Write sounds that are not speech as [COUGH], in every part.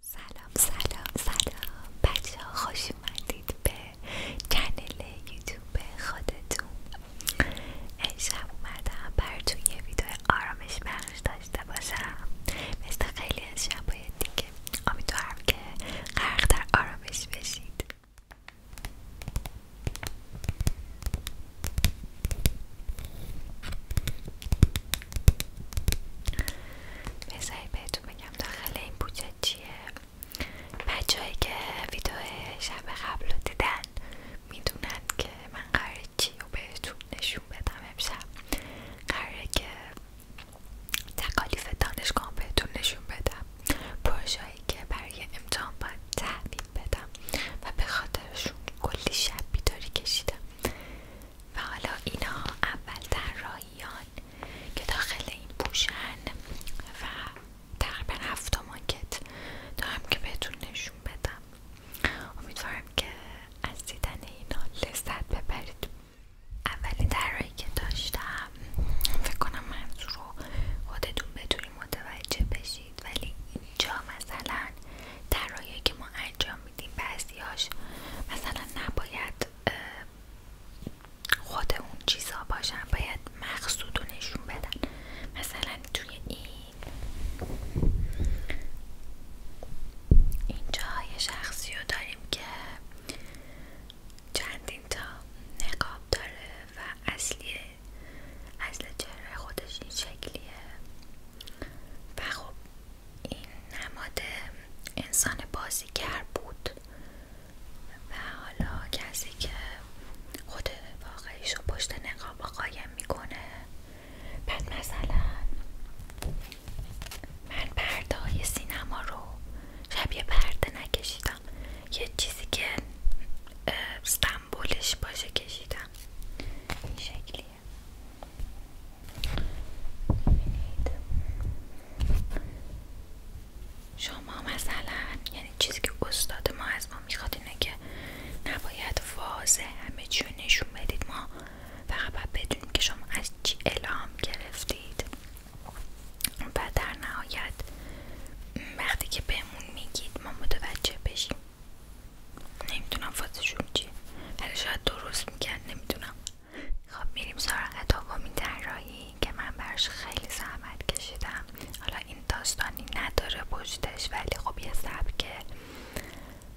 سلام سلام سلام بچه ها خوش اومدید به کانال یوتیوب خودتون انشب اومدم براتون یه ویدیو آرامش بخش داشته باشم مثل خیلی از شبای دیگه امیدوارم که غرق در آرامش بشید بذارید بهتون بگم داخل این بودجه چیه بچههایی که ویدیو شب قبل رو دیدن میدونن که من قراره چی رو بهتون نشون بدم امشب قراره که تکالیف دانشگاه بهتون نشون بدم پروژه که برای امتحان باید تحویل بدم و به خاطرشون کلی شب بیداری کشیدم و حالا اینا اول طراحیان که داخل این پوشن و تقریبا هفت ماکت دارم که بهتون نشون بدم امیدوارم که از دیدن اینا لذت ببرید اولین طراحی که داشتم فکر کنم منظور رو خودتون بتونید متوجه بشید ولی اینجا مثلا طراحی که ما انجام میدیم هاش مثلا نباید خود اون چیزا باشن باید مقصود نشون بدن مثلا توی این اینجا یه شخصی رو داریم که چندین تا نقاب داره و اصلی اصل چهره خودش این شکلیه و خب این نماد انسان بازیگر بود و حالا کسی که خود واقعیش رو پشت نقاب قایم میکنه بعد مثلا من پرده سینما رو شبیه پرده نکشیدم یه چیزی که سمبولش باشه کشیدم این شکلی شما مثلا یعنی چیزی که استاد ما از ما میخواد اینه که نباید واضح همه چی نشون بدید ما فقط باید بدونیم که شما از چی اعلام گرفتید و در نهایت وقتی که بهمون میگید ما متوجه بشیم نمیدونم فازشون چی. ولی شاید درست میکرد نمیدونم خب میریم سراغ دومین طراحی که من براش خیلی زحمت کشیدم حالا این داستانی نداره پشتش ولی خب یه سبکه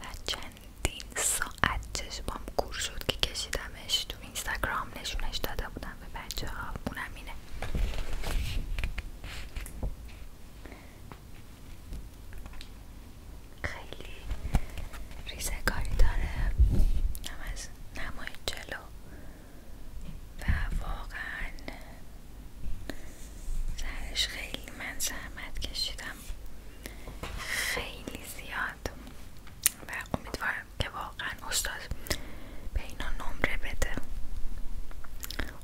و چندین ساعت چشمام کور شد که کشیدمش تو اینستاگرام نشونش داده بودم به بچه ها اونم اینه خیلی ریزکاری داره هم از نمای جلو و واقعا سرش خیلی من زحمت کشیدم خیلی زیاد و امیدوارم که واقعا استاد به اینا نمره بده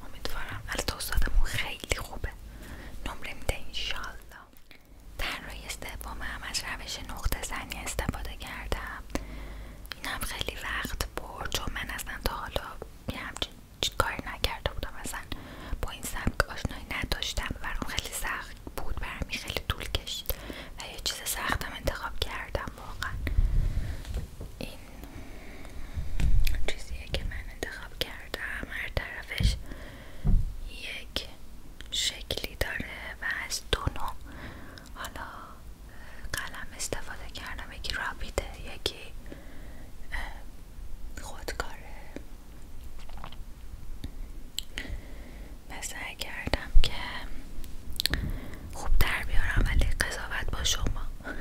امیدوارم دوست استادمون خیلی خوبه نمره میده انشالله در روی سوم هم از روش نقطه زنی استفاده کردم اینم خیلی وقت برد چون من اصلا تا حالا یه همچین کاری نکرده بودم اصلا با این سبک آشنایی نداشتم و اون خیلی سخت بود برمی خیلی طول کشید و یه چیز سختم انتخاب کردم واقعا چیزیه که من انتخاب کردم هر طرفش یک شکلی داره و از دو حالا قلم استفاده کردم یکی رابیده یکی خودکاره و کردم که خوب در بیارم ولی قضاوت با شما [LAUGHS]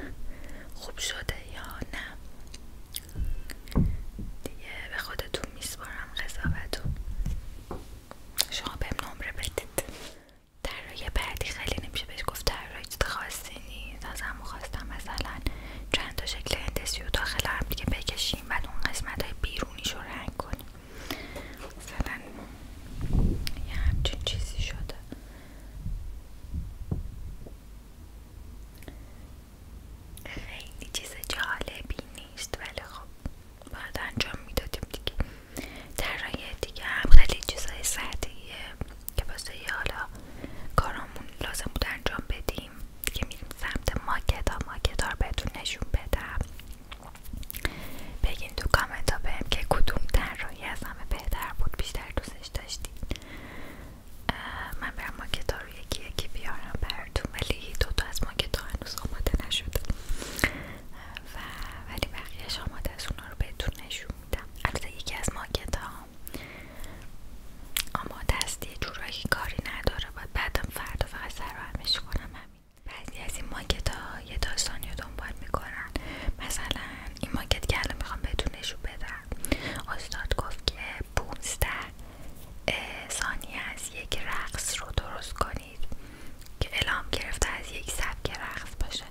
خوب شده یا نه دیگه به خودتون میسپارم قضاوتو شما بهم نمره بدید طراحی بعدی خیلی نمیشه بهش گفت در چیز نیست از همون خواستم مثلا چند تا شکل هندسی و داخل هم بکشیم و اون قسمت های بیرونیش رو رنگ کنیم مثلا یه همچین چیزی شده خیلی چیز جالبی نیست ولی خب بعد انجام میدادیم دیگه طراحی دیگه هم خیلی چیزای سادهیه که واسه حالا کارامون لازم بود انجام بدیم دیگه میریم سمت ماکتا ها رو بهتون نشون بدم بگین تو کامنت ها بهم که کدوم طراحی از همه بهتر بود بیشتر دوستش داشتید من برم ماکتا رو یکی یکی بیارم براتون ولی دوتا از ماکتا هنوز آماده نشده و ولی بقیهش آماده از اونها رو بهتون نشون میدم البته یکی از ماکتا آماده است یه جورایی کاری نداره باید بعدم فردا فقط سر و کنم همین بعضی از این ماکتا یه داستانی رو دنبال میکنم مثلا این ماکت که میخوام بهتون نشون بدم استاد گفت که 15 ثانیه از یک رقص رو درست کنید که الهام گرفته از یک سبک رقص باشه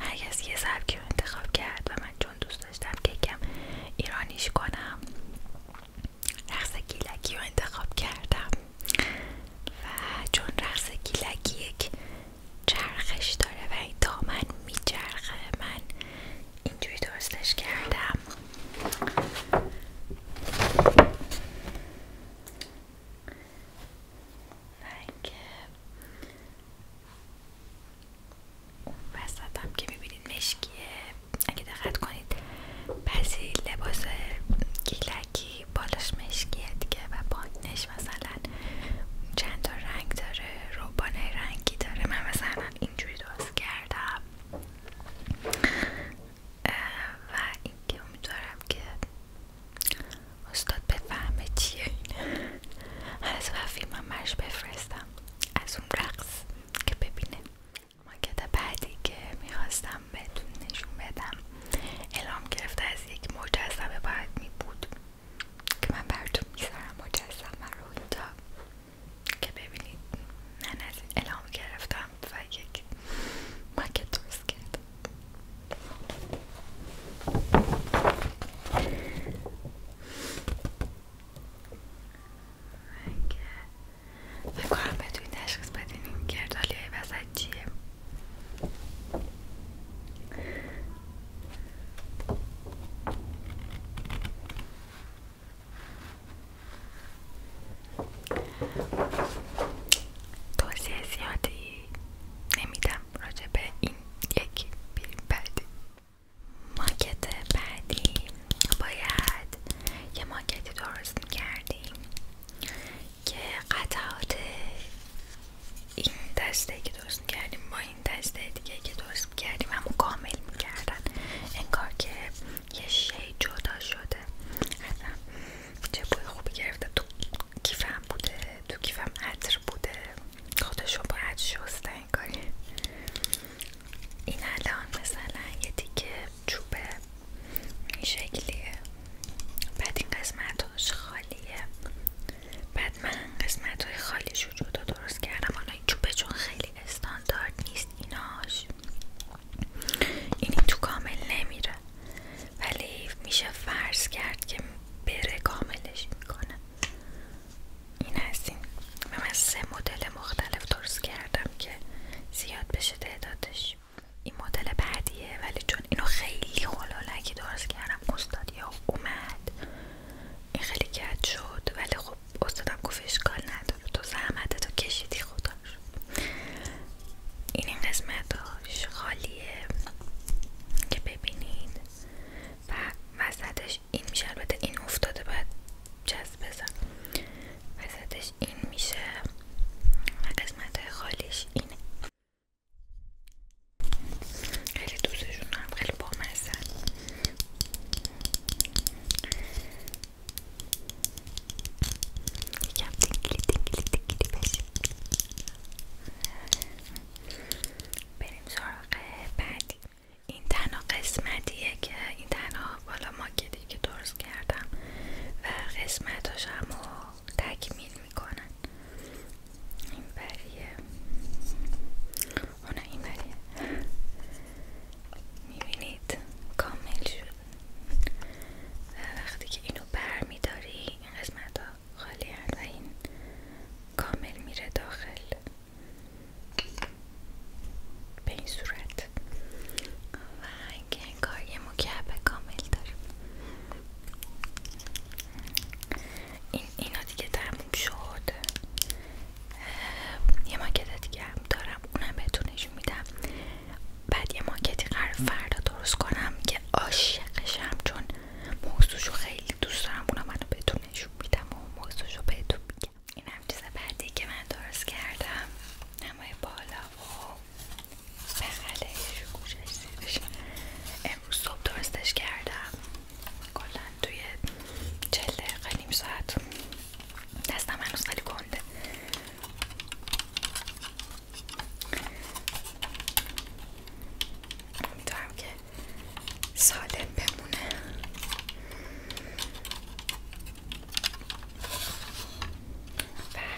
هر یه سبکی رو انتخاب کرد و من چون دوست داشتم که یکم ایرانیش کنم رقص گیلکی رو انتخاب کردم و چون رقص گیلکی یک چرخش داره و این دامن میچرخه من اینجوری درستش کردم و اینکه وسط که میبینید مشکیه اگه دقت کنید بعضی لباس گیلکی بالاش مشکیه دیگه و پایینش مثلا چند تا رنگ داره روبانه رنگی داره من مثلا اینجوری درست کردم و اینکه امیدوارم که استاد بفهمه چیه از وفی من مرش بفرستم از اون رقص که ببینه که بعدی که میخواستم بهتون نشون بدم اعلام گرفته از یک مجسمه باید می بود که من براتون میذارم مجسمه رو اینجا که ببینید من از این گرفتم و یک ماکت درست کردم من که فکر بدین این گردالی های توصیه زیادی نمیدم راجع به این یک بریم بعدی ماکت بعدی باید یه ماکتی درست میکردیم که قطعات این دسته که درست کردیم با این دسته دیگه که درست کردیم همون کامل میکردن انگار که یه شی جدا شده اصلا چه بوی خوبی گرفته تو کیفم بوده تو کیفم عطر بوده خودشون باید شسته انگاری این الان مثلا یه دیگه چوبه این شکلیه بعد این قسمتاش خالیه بعد من قسمت های خالیش رو درست کردم حالا این به چون خیلی استاندارد نیست ایناش این تو کامل نمیره ولی میشه فرض کرد که بره کاملش میکنه این هستین این من سه مدل مختلف درست کردم که زیاد بشه تعدادش این مدل بعدیه ولی چون اینو خیلی که درست کردم یا اومد این خیلی کج شد ولی خب استادم گفت اشکال نداره تو زحمت تو کشیدی خدا این این قسمتاش خالیه که ببینید و وسطش این میشه البته این افتاده باید جذب بزن وسطش این میشه و قسمت خالیش اینه خیلی دوستشون هم خیلی بامزن یکم بریم سراغ بعدی این تنها قسمتیه که این تنها بالا ماکتی که درست کردم و قسمتاش هم تکمیل میکنن این بریه اون این بریه میبینید کامل شد و وقتی که اینو بر میداری این قسمت ها خالی و این کامل میره داخل به این صورت که کار یه به کامل داریم این اینا دیگه تموم شد یه ماکت دیگه هم دارم اونم بهتون میدم بعد یه ماکتی قرار فردا درست کنم که عاشقشم چون موضوعشو خیلی دوست دارم اونم منو بهتون میدم و موضوعشو بهتون میگم این هم چیز بعدی که من درست کردم نمای بالا و خب. بخلش گوشش امروز صبح درستش کردم کلا توی چل دقیقه ساعت دستم هنوز خیلی گنده امیدوارم که سالم بمونه بله.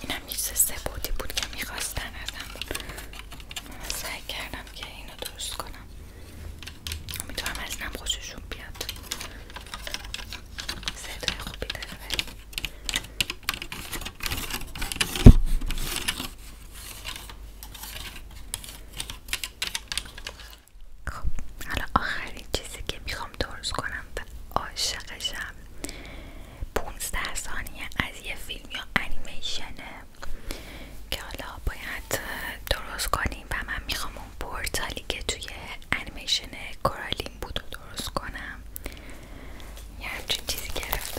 اینم این هم بودی بود که میخواستن ازم من سعی کردم که اینو درست کنم امیدوارم از اینم خوششون بیاد صدای خوبی داره خب حالا آخرین چیزی که میخوام درست کنم و عاشقشم 15 ثانیه از یه فیلم یا انیمیشنه که حالا باید درست کنیم و من میخوام اون پورتالی که توی انیمیشن کورالین بودو درست کنم یه همچین چیزی گرفتم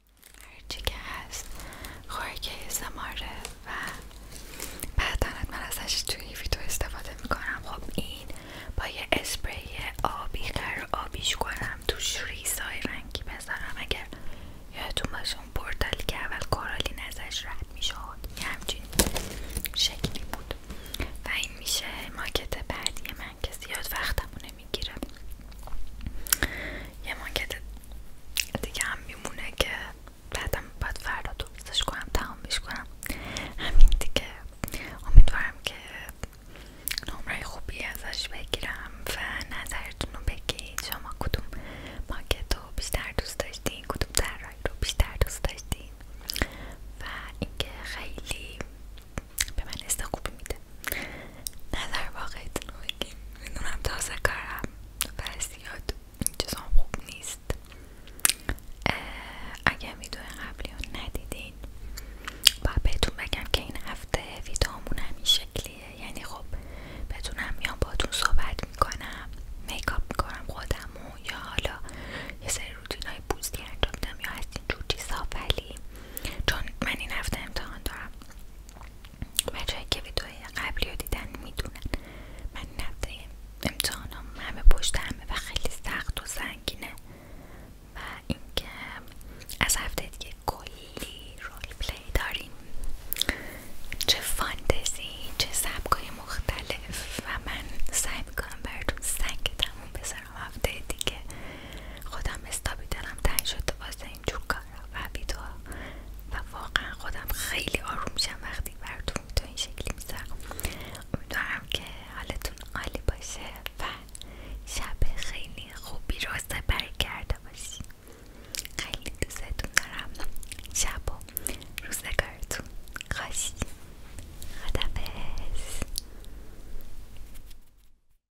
هرچی که هست خوراک سماره و بعد من ازش توی ویدیو استفاده میکنم خب این با یه اسپری آبی آبیش کنم توش ریزای رنگی بذارم اگر یادتون باشه اون که اول کارالین ازش رد میشد یه همچین شکلی بود و این میشه ماکت بعدی من که زیاد وقتمو میگیره یه ماکت دیگه هم میمونه که بعدم باید فردا درستش کنم تمامش کنم همین دیگه امیدوارم که نمره خوبی ازش بگیرم و نظرتونو رو بگید شما کدوم ماکت رو بیشتر دوست داشتین کدوم طراحی رو بیشتر دوست داشتین و اینکه خیلی به من حس خوبی میده نظر واقع بگیم میدونم تازه کارم و زیاد این خوب نیست اگر ویدیو قبلی رو ندیدین باید بهتون بگم که این هفته ویدیومون همین شکلیه یعنی خب بتونم یا باتون صحبت میکنم میکاپ میکنم و یا حالا یه سری روتین های پوستی انجام میدم یا از اینجور چیزها ولی چون من این هفته امتحان دارم بچه که ویدئوی قبلی رو دیدن میدونن من نبده امتحانم همه پشت همه و خیلی سخت و سنگینه و اینکه از هفته دیگه کلی رول پلی داریم چه فانتزی چه سبکای مختلف و من سعی میکنم براتون سنگ تموم بذارم هفته دیگه خودم استابی دلم تنگ شده واسه اینجور کارا و ویدوها و واقعا خودم خیلی آروم میشم وقتی براتون تو این شکلی میذارم امیدوارم که حالتون عالی باشه و شب خیلی خوبی رو سپری کرده باشی خیلی دوستتون دارم شب و روزگارتون خدا خدافظ